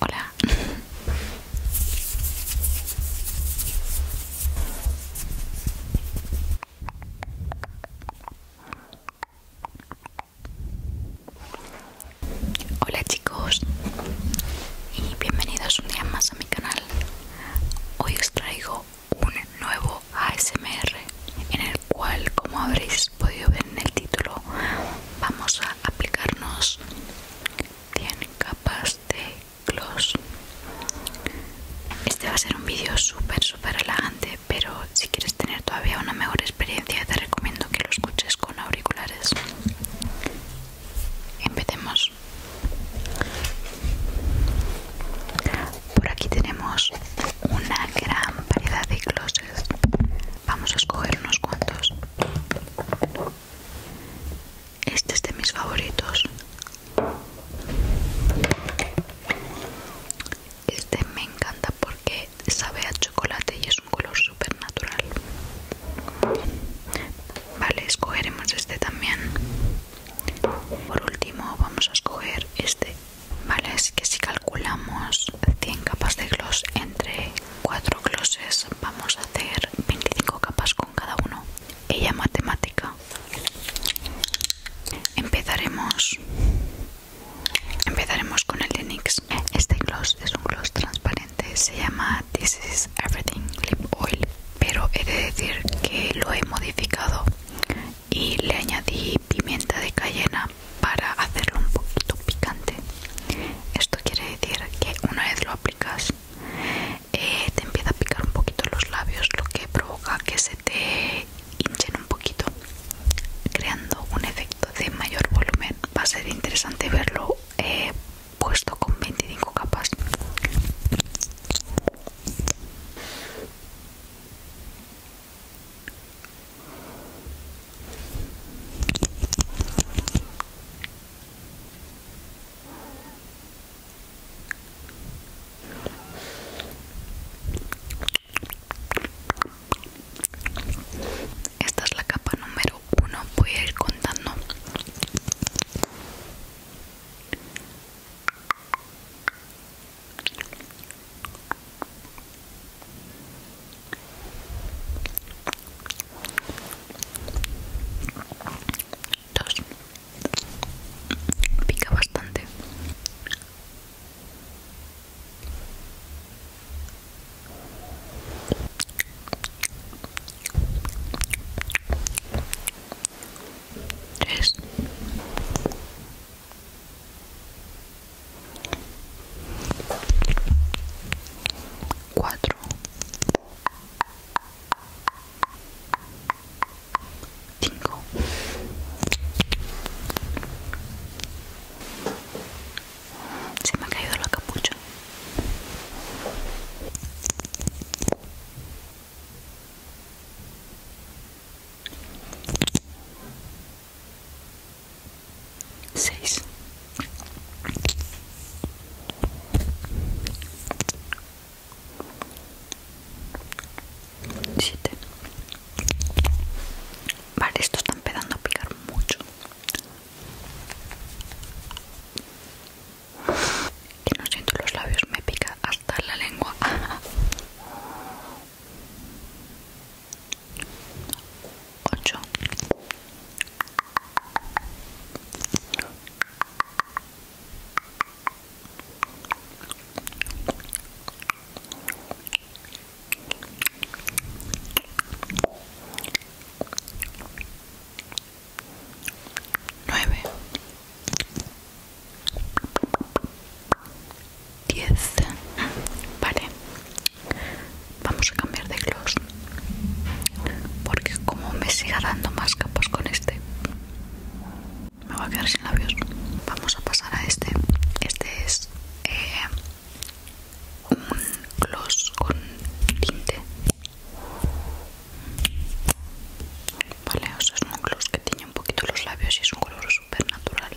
Hola. Hola chicos y bienvenidos un día más a mi canal. Hoy os traigo un nuevo ASMR en el cual como habréis podido ver en el título vamos a aplicarnos 100 capas de gloss este va a ser un vídeo súper súper relajante pero si quieres tener todavía una mejor experiencia te recomiendo que lo escuches con auriculares empecemos por aquí tenemos una gran variedad de glosses vamos a escoger unos cuantos este es de mis favoritos. Este me encanta porque sabe a chocolate y es un color súper natural. Vale, escogeremos este también. Por último vamos a escoger este. Vale, así que si calculamos 100 capas de gloss entre cuatro glosses vamos a hacer 25 capas con cada uno ella matemática empezaremos empezaremos con el de este gloss es un gloss transparente se llama This is Everything Lip Oil pero he de decir que lo he modificado y le añadí pimienta de cayena para hacerlo un poquito picante esto quiere decir que una vez lo aplicas eh, te empieza a picar un poquito los labios lo que provoca que se te hinchen un poquito creando un efecto de mayor volumen va a ser interesante verlo eh, puesto con 25 capas esta es la capa número uno, voy a ir contando. Dos. Pica bastante. Tres cuatro se me ha caído la capucha 6 7 Vale, esto está empezando a picar mucho y no siento los labios, me pica hasta la lengua 8 9 10 vale Vamos a cambiar de gloss porque como me siga dando más capas con este me voy a quedar sin labios. Vamos a pasar a este. Este es eh, un gloss con tinte. Vale, es un gloss que tiene un poquito los labios y es un color súper natural.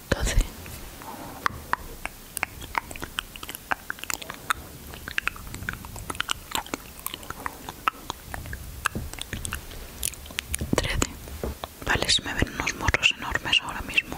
12 13 Vale, se me ven unos morros enormes ahora mismo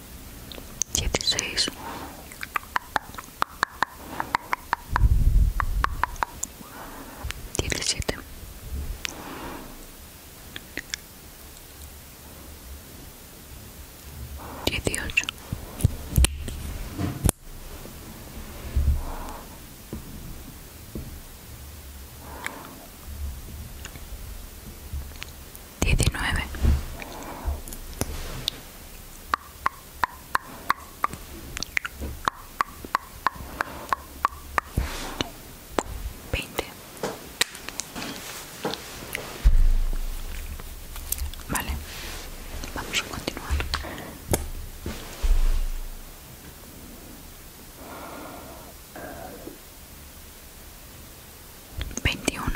16 17 18 19 20 Vale, vamos a continuar. 21 22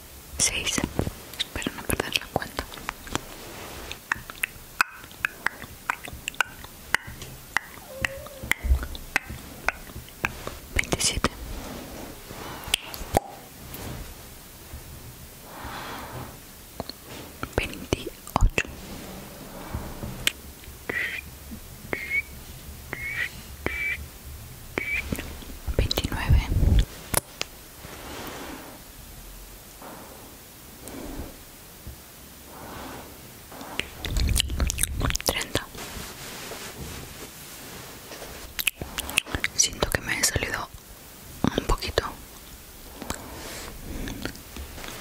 6, espero no perder la cuenta 27 28 29 30 siento que me he salido un poquito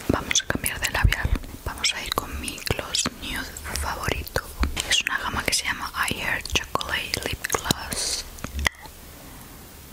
vamos a cambiar de labial vamos a ir con mi gloss nude favorito es una gama que se llama I Chocolate Lip Gloss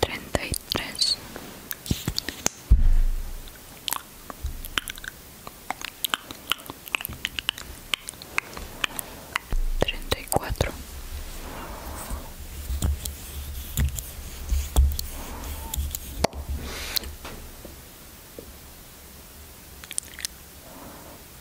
treinta y tres treinta y cuatro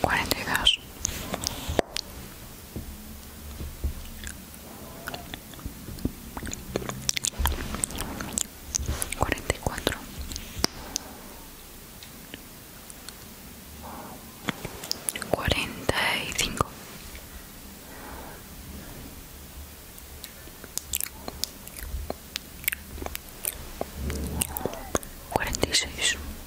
cuarenta y dos cuarenta y cuatro cuarenta y cinco cuarenta y seis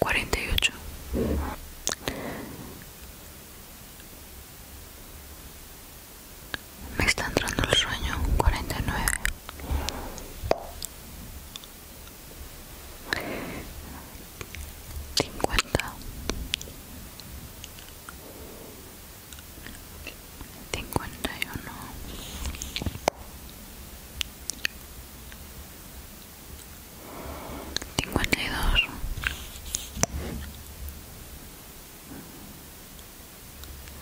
48 Me está entrando el sueño 49 50 51 cincuenta y dos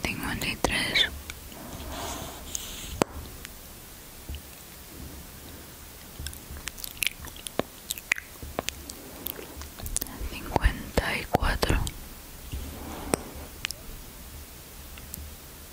cincuenta y cuatro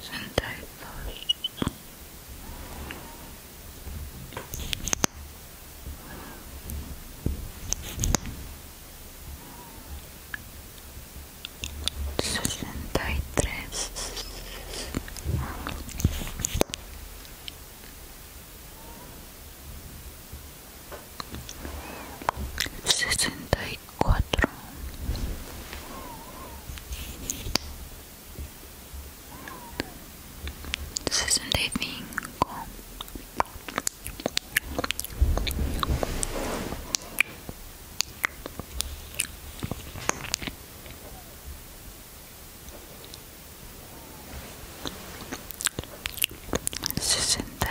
sesenta y tres cuatro sesenta y cinco sesenta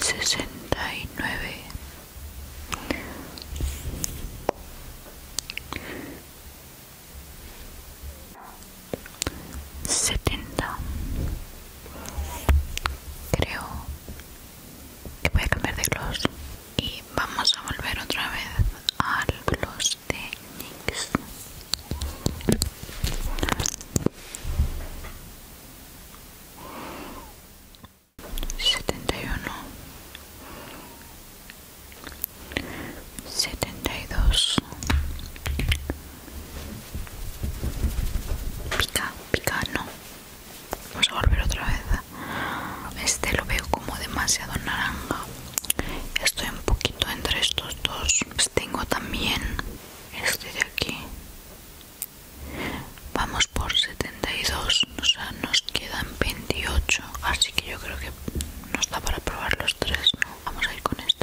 69 70 creo que voy a cambiar de gloss y vamos a volver otra vez al los de NYX setenta y uno setenta y dos pica pica no vamos a volver otra vez este lo veo como demasiado naranja estoy un poquito entre estos dos pues tengo también este de aquí vamos por 72 o sea nos quedan 28 así que yo creo que nos da para probar los tres vamos a ir con este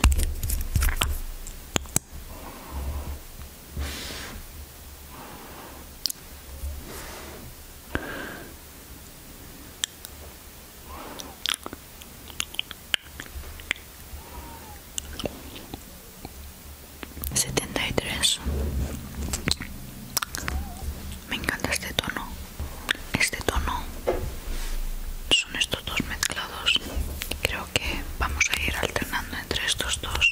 73 me encanta este tono este tono son estos dos mezclados creo que vamos a ir alternando entre estos dos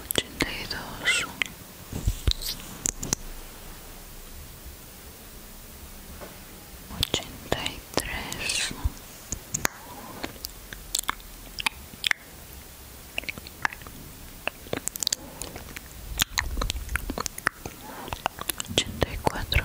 ochenta y dos ochenta y tres ochenta y cuatro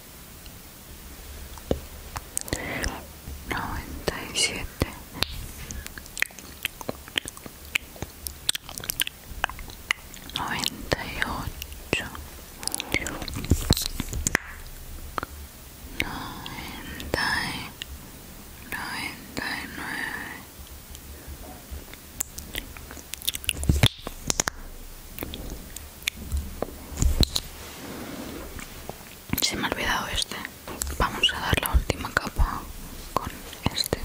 noventa y siete noventa y ocho noventa y nueve se me ha olvidado este. Vamos a dar la última capa con este.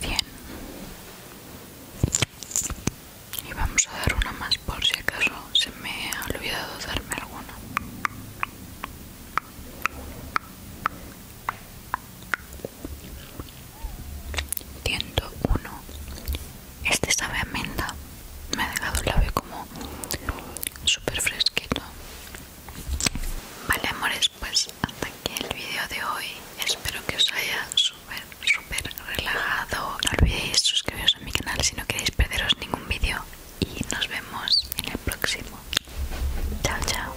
Bien. Y vamos a dar una más por si acaso se me ha olvidado darme alguna. 101 este sabe a menta me ha dejado el ave como súper fresquito vale amores pues hasta aquí el vídeo de hoy espero que os haya super super relajado no olvidéis suscribiros a mi canal si no queréis perderos ningún vídeo y nos vemos en el próximo. Chao, chao.